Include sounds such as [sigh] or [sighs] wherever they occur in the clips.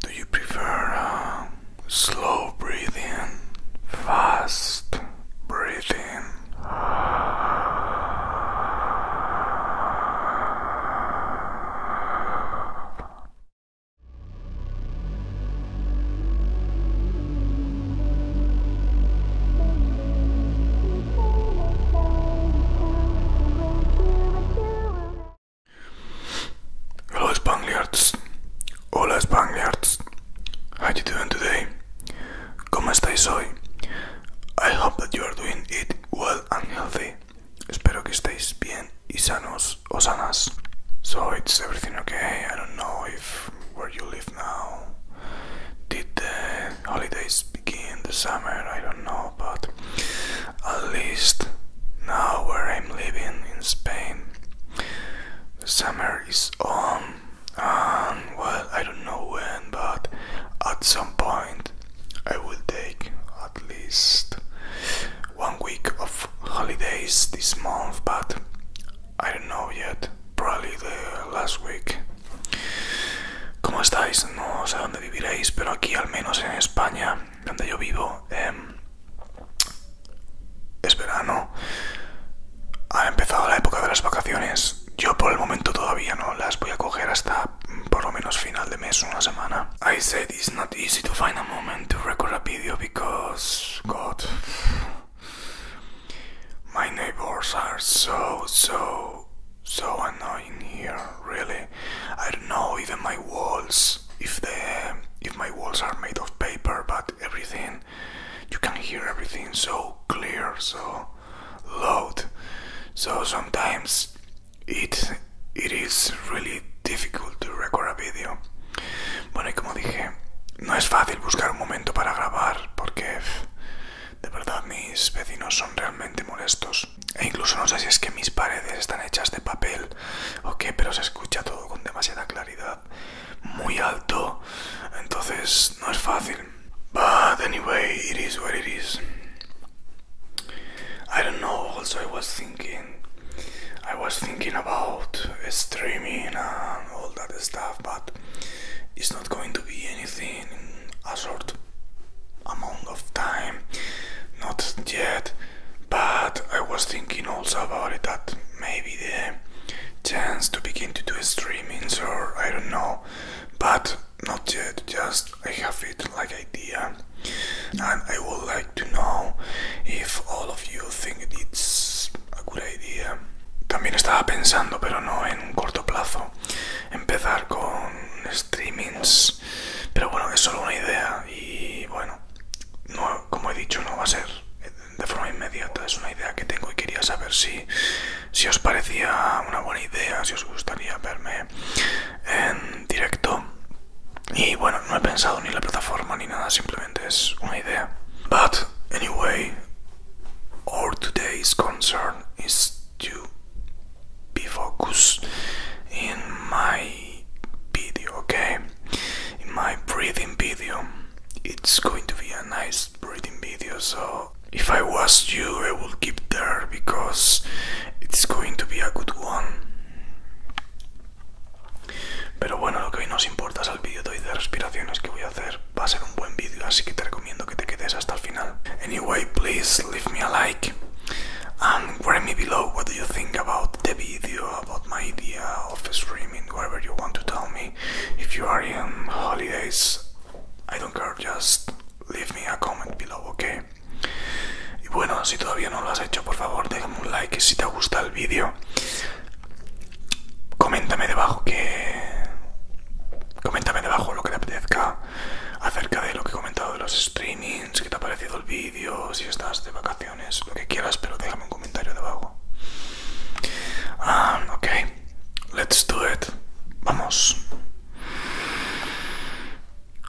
Do you prefer um, slow breathing, fast breathing? Hello Spangliards, hola Spangliards, how you doing today? ¿Cómo estáis hoy? I hope that you are doing it well and healthy. Espero que estéis bien y sanos. Osanas. So it's everything okay? I don't know if where you live now. Did the holidays begin the summer? I don't know, but at least now where I'm living in Spain, the summer is on. And well, I don't know when, but at some point I will take at least one week of holidays this month, but I don't know yet, probably the last week. ¿Cómo estáis? No sé dónde viviréis, pero aquí al menos en España, donde yo vivo, eh, es verano. Ha empezado la época de las vacaciones. Yo por el momento todavía no las voy a coger hasta mm, por lo menos final de mes, una semana. I said it's not easy to find a moment to record a because God, my neighbors are so, so, so annoying here. Really, I don't know even my walls if the if my walls are made of paper, but everything you can hear everything so clear, so loud. So sometimes it it is really difficult to record a video. Bueno, y como dije, no es fácil buscar un momento para grabar porque de verdad mis vecinos son realmente molestos. E incluso no sé si es que mis paredes están hechas de papel o qué, pero se escucha todo con demasiada claridad, muy alto, entonces no es fácil. But anyway, it is what it is. I don't know, I thinking. I was thinking about streaming and all that stuff, but it's not going to be anything a short amount of time. Not yet, but I was thinking also about it that maybe the chance to begin to do streaming, or I don't know, but not yet. Just I have it like idea I would like to know if all of you think it's a good idea. También estaba pensando, pero no en un corto plazo, empezar con streamings. Pero bueno, es solo una idea y bueno, no, como he dicho, no va a ser de forma inmediata. Es una idea que tengo y quería saber si, si os parecía una buena idea, si os gustaría verme en directo Y bueno, no he pensado ni la plataforma ni nada, simplemente es una idea. But anyway, our today's concern is to be focused in my video, okay? In my breathing video. It's going to be a nice breathing video, so if I was you, I would keep there because it's going to be a good one. Pero bueno, lo que hoy nos importa es el vídeo de hoy de respiraciones que voy a hacer. Va a ser un buen vídeo, así que te recomiendo que te quedes hasta el final. Anyway, please leave me a like and write me below what do you think about the video, about my idea of streaming, whatever you want to tell me. If you are in holidays, I don't care, just leave me a comment below, okay? y bueno si todavía no lo has hecho por favor déjame un like si te gusta el vídeo coméntame debajo que coméntame debajo lo que te apetezca acerca de lo que he comentado de los streamings qué te ha parecido el vídeo si estás de vacaciones lo que quieras pero déjame un comentario debajo ah, ok let's do it vamos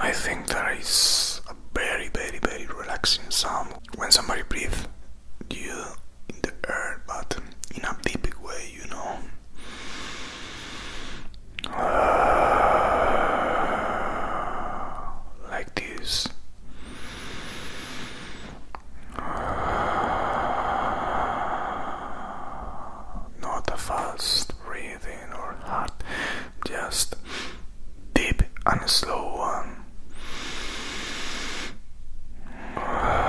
I think there is a very, very, very relaxing sound when somebody breathes you in the air, but in a deep way, you know. [sighs] like this. [sighs] Not a fast breathing or hard, just deep and slow one. [sighs]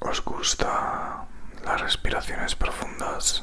os gusta las respiraciones profundas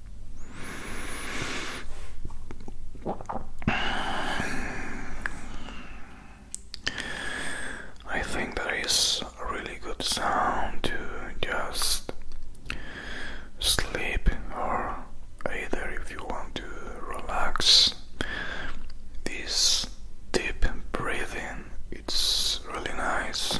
I think that is a really good sound to just sleep, or either if you want to relax. This deep breathing, it's really nice.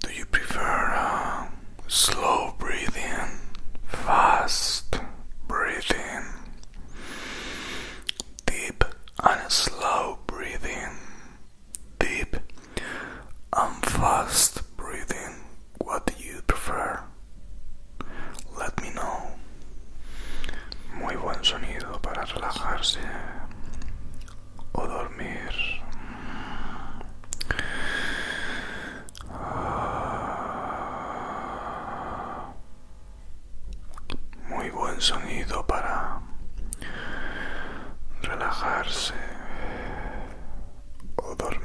Do you prefer uh, slow breathing, fast breathing, deep and slow breathing, deep and fast breathing. What do you prefer? Let me know. Muy buen sonido para relajarse o dormir. Muy buen sonido para relajarse o dormir.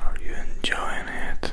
Are you enjoying it?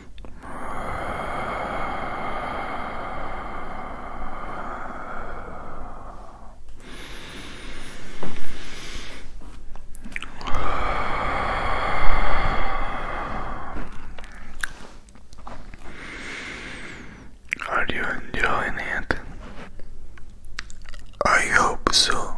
Are you enjoying it? I hope so.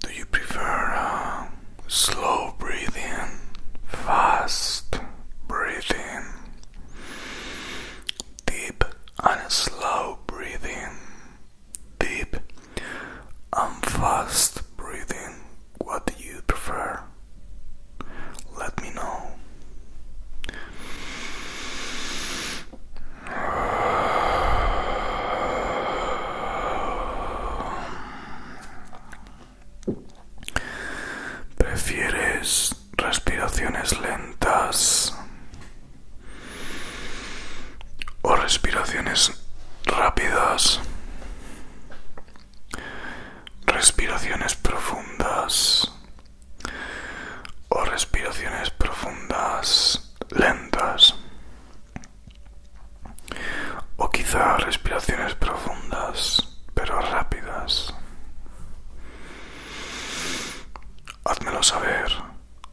Do you prefer uh, slow breathing, fast breathing, deep and slow breathing? deep and fast breathing. What do you prefer? Let me know. ¿Prefieres respiraciones lentas o respiraciones rápidas, respiraciones profundas o respiraciones profundas lentas o quizá respiraciones profundas pero rápidas. Házmelo saber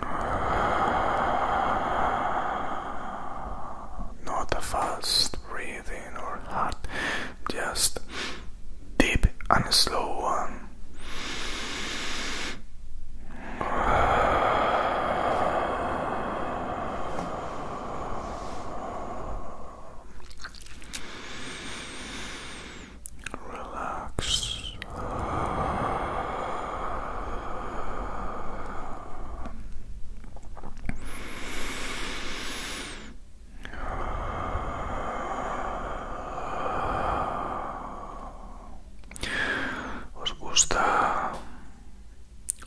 Not a fast breathing or heart, just deep and slow one. Relax, Os gusta,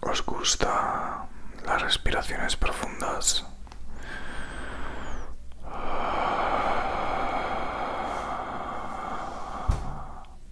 os gusta las respiraciones profundas.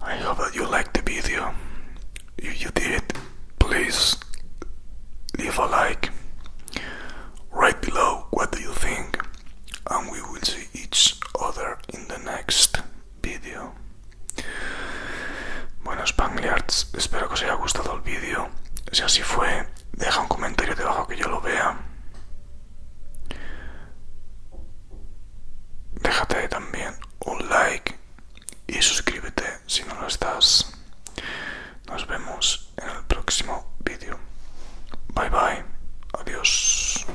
I hope that you liked the video. If you did, please leave a like. Write below what do you think, and we will see each other in the next video. Bueno, Spangliards, espero que os haya gustado el vídeo. Si así fue, deja un comentario debajo que yo lo vea déjate también un like y suscríbete si no lo estás. Nos vemos en el próximo vídeo. Bye bye. Adiós.